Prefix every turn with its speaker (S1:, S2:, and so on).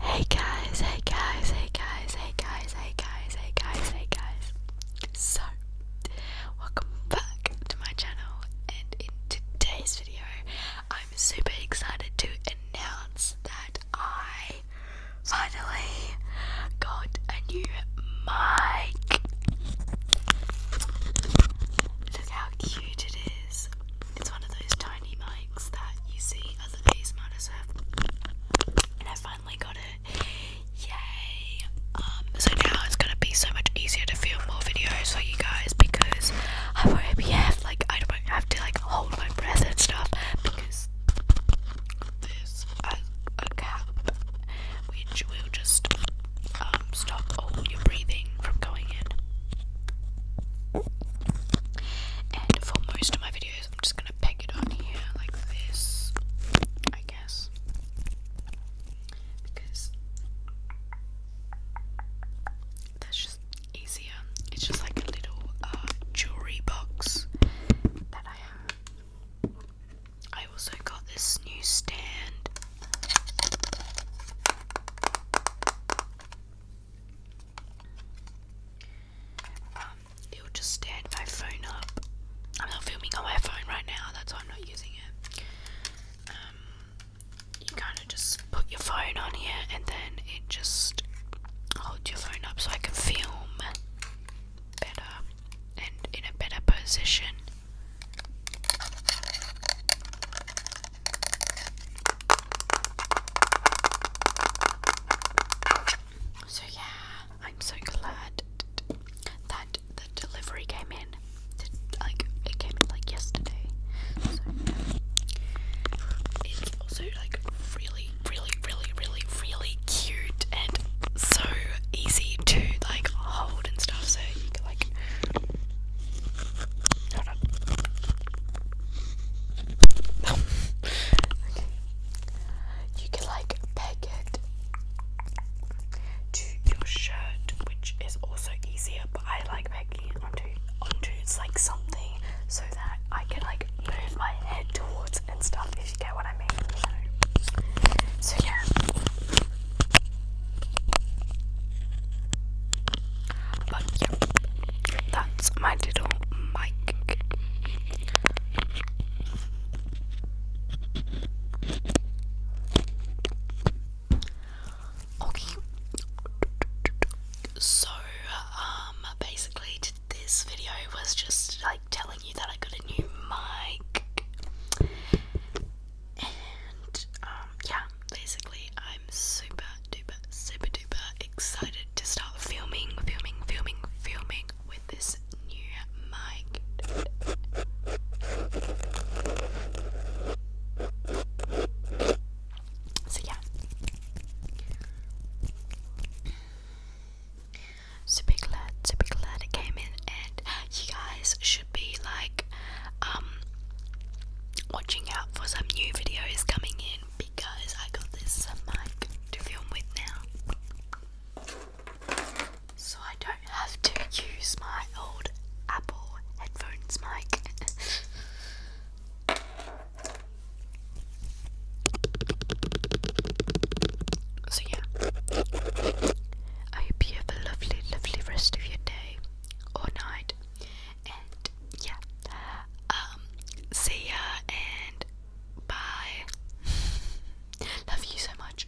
S1: Hey guys, hey guys, hey guys, hey guys, hey guys, hey guys, hey guys. So, welcome back to my channel, and in today's video, I'm super excited to announce that I finally got a new mic. Look how cute it is. It's one of those tiny mics that you see other ASMRs have. And I finally got it. Yay! Um, so now it's gonna be so much easier to film more videos for you guys because I won't have, like, I don't have to, like, hold my breath and stuff because this as a cap, which will just um, stop all your breathing from going in. And for most of my videos, I'm just gonna peg it on here like this, I guess, because that's just easier. It's just like a little uh, jewelry box that I have. I also got this new stand. Um, it'll just stand my phone up. I'm not filming on my phone right now, that's why I'm not using it. Um, you kind of just put your phone on here and then it just hold your phone up so I can film better and in a better position. So, yeah, I'm so glad that the delivery came in. Like, it came like yesterday like really, really, really, really, really cute and so easy to like hold and stuff. So you can like You can like peg it to your shirt, which is also easier. But I like peg sticking it onto onto like something so that I can like move my head towards and stuff if you get what I mean. So, so yeah. But yeah, that's my little mic. Okay. So, um, basically, this video was just like telling you that I got a new mic. And, um, yeah, basically, I'm super duper, super duper excited to start filming, filming, filming, filming with this new mic. So yeah. Super glad, super glad it came in, and you guys should be like, um, watching out for some new videos coming in because I got this mic to film with now, so I don't have to use my old Apple headphones mic. so, yeah. I hope you have a lovely, lovely rest of your day or night. And yeah. Um, see ya and bye. Love you so much.